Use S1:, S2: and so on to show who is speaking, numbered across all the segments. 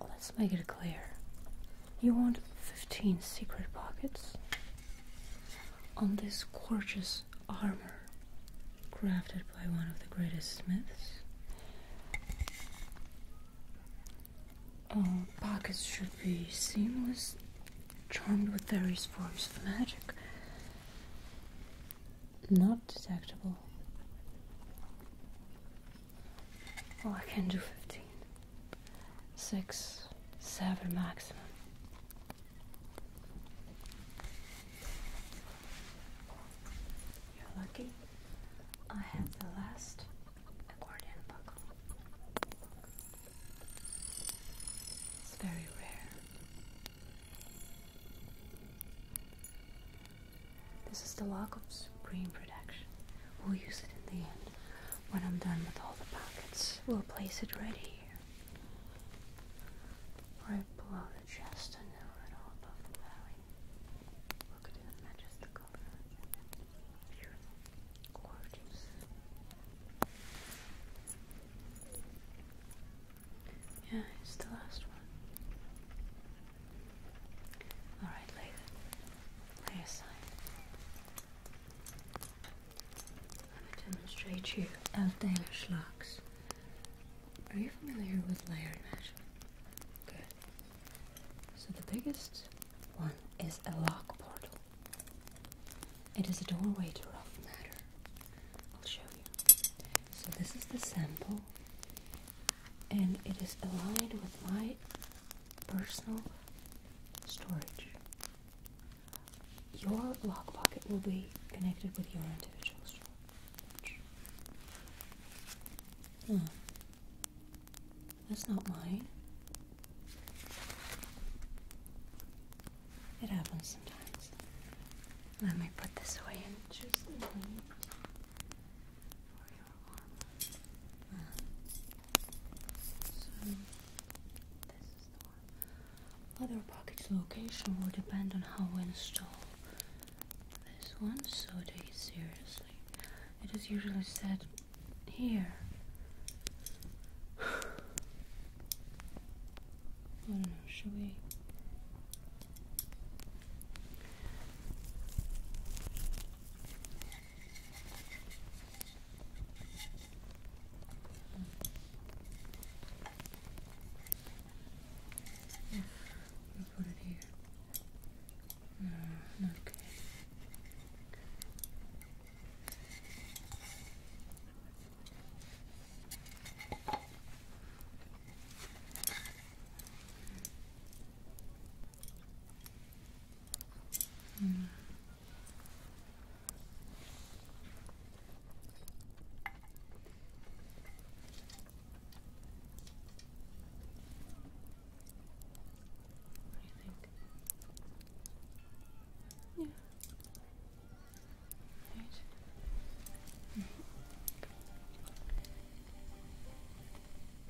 S1: Let's make it clear. You want 15 secret pockets on this gorgeous armor crafted by one of the greatest smiths. Oh, pockets should be seamless, charmed with various forms of magic, not detectable. Oh, I can do 15. 6, 7 maximum. You're lucky. I have the last accordion buckle. It's very rare. This is the lock of supreme protection. We'll use it in the end. When I'm done with all the pockets, we'll place it right here. Right below the chest and then right all above the belly. Look at it, matches the color. Beautiful. Gorgeous. Yeah, it's the last one. Alright, lay it. Lay aside. I will demonstrate you Eldaler Schlocks. Are you familiar with layered mesh? Good. So the biggest one is a lock portal. It is a doorway to rough matter. I'll show you. So this is the sample and it is aligned with my personal storage. Your lock pocket will be connected with your individual storage. Hmm. That's not mine. It happens sometimes. Let me put this away and choose the one so Other package location will depend on how we install this one. So take it seriously. It is usually set here. I don't know. Should we? Oof, we put it here. No, not good. Yeah. Right. Mm-hmm.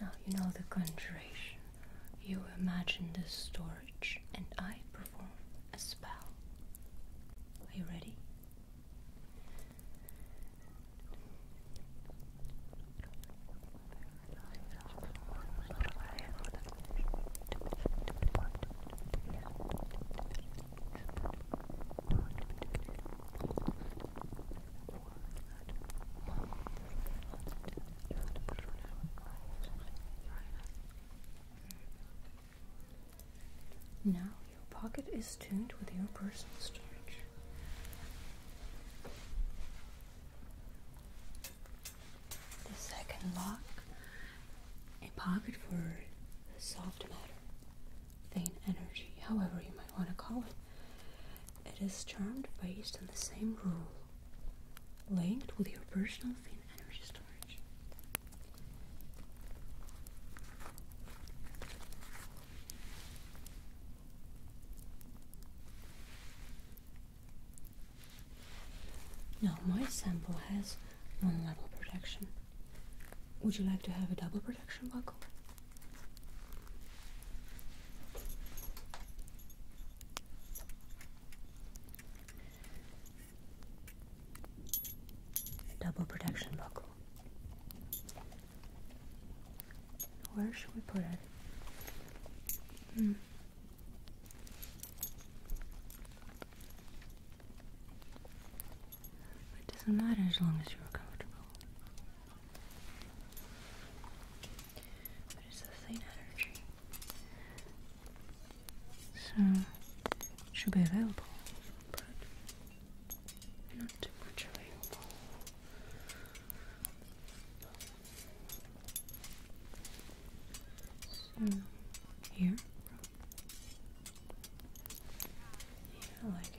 S1: Now you know the country. You imagine the storage, and I perform a spell. Are you ready? now your pocket is tuned with your personal storage. The second lock, a pocket for soft matter, vain energy, however you might want to call it. It is charmed based on the same rule linked with your personal thin energy storage. Now, my sample has one level protection. Would you like to have a double protection buckle? Double protection buckle. Where should we put it? Hmm. It doesn't matter as long as you're comfortable. It's this thing energy? So it should be available, but not too much available. So here, yeah, like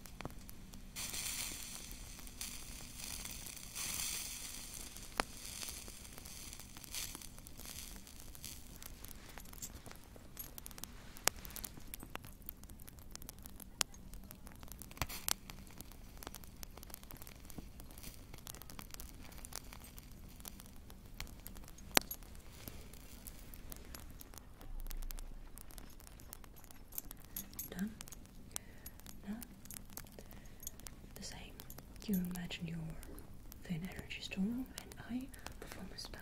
S1: Done. No? The same. You imagine your thin energy storm and I perform a spell.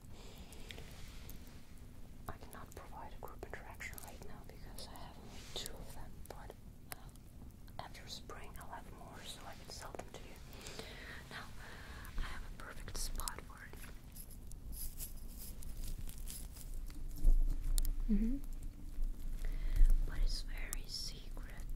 S1: I cannot provide a group interaction right now because I have only two of them, but uh, after spring I'll have more so I can sell them to you. Now, I have a perfect spot for it. Mm-hmm. But it's very secret.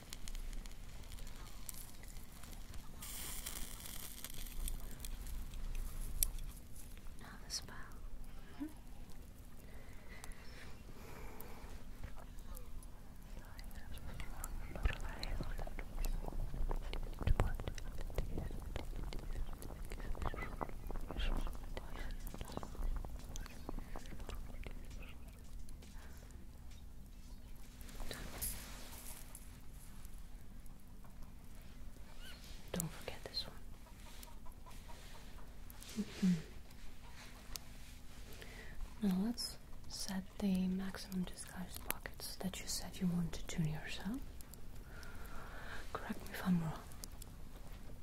S1: Not the spell. Mm -hmm. Good. Don't forget this one. Now let's set the maximum disguise pockets that you said you want to tune yourself. Correct me if I'm wrong.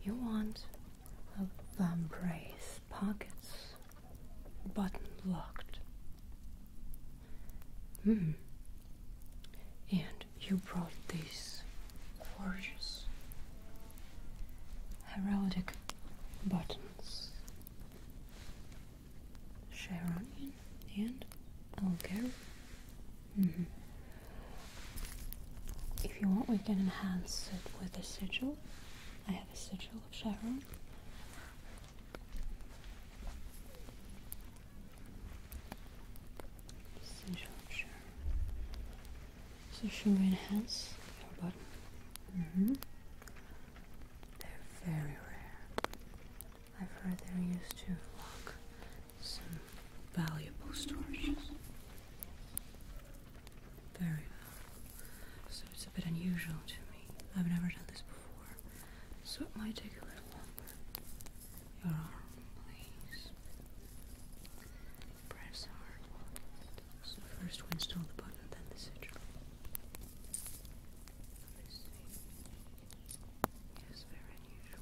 S1: You want a vambrace pockets. Button locked. Hmm. And you brought these gorgeous heraldic buttons. Sharonian and Elgar. Mm -hmm. If you want, we can enhance it with a sigil have a sigil of Sharon. enhance your mm-hmm. They're very rare. I've heard they're used to lock some valuable storages. Very well. So it's a bit unusual to me. I've never done this before. So it might take a little longer. Your arm, please. Press hard So first we install the button, then the sigil. Let me see. Yes, very unusual.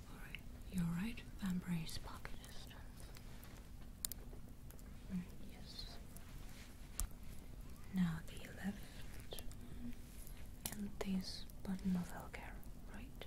S1: You're right thumb raise pocket distance. Mm, yes. Now the left and this button of Elgar, right?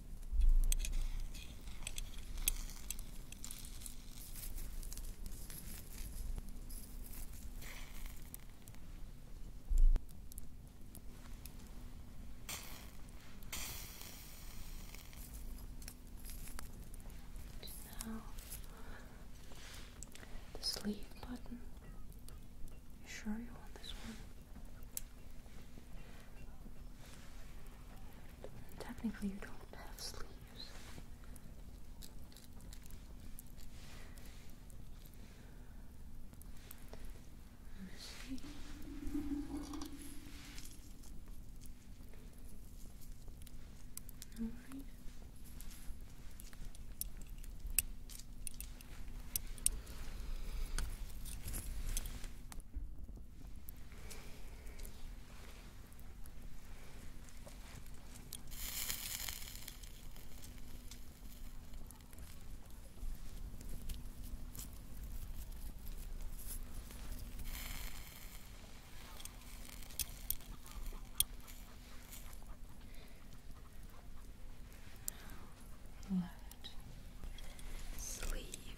S1: Now, the sleeve button. sure you want this one? Technically, you don't have sleeves. Let me see. All right. Left sleeve.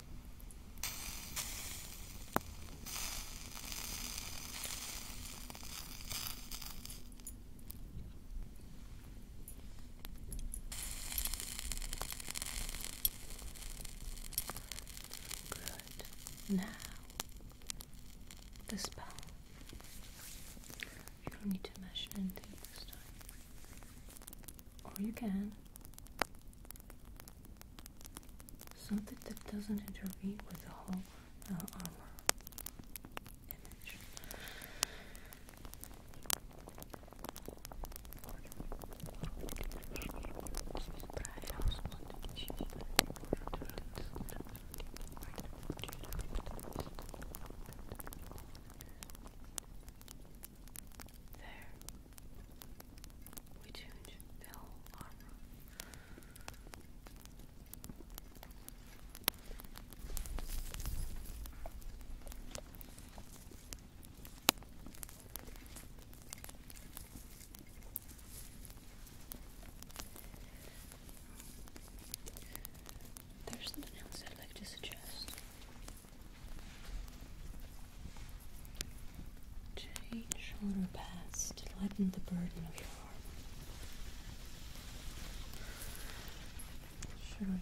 S1: Good. Now, the spell. You'll need to measure in this time or oh, you can something that doesn't intervene with the whole uh, armor image. There. We change the whole armor. There's something else I'd like to suggest. Change shoulder pads to lighten the burden of your arm. Surely.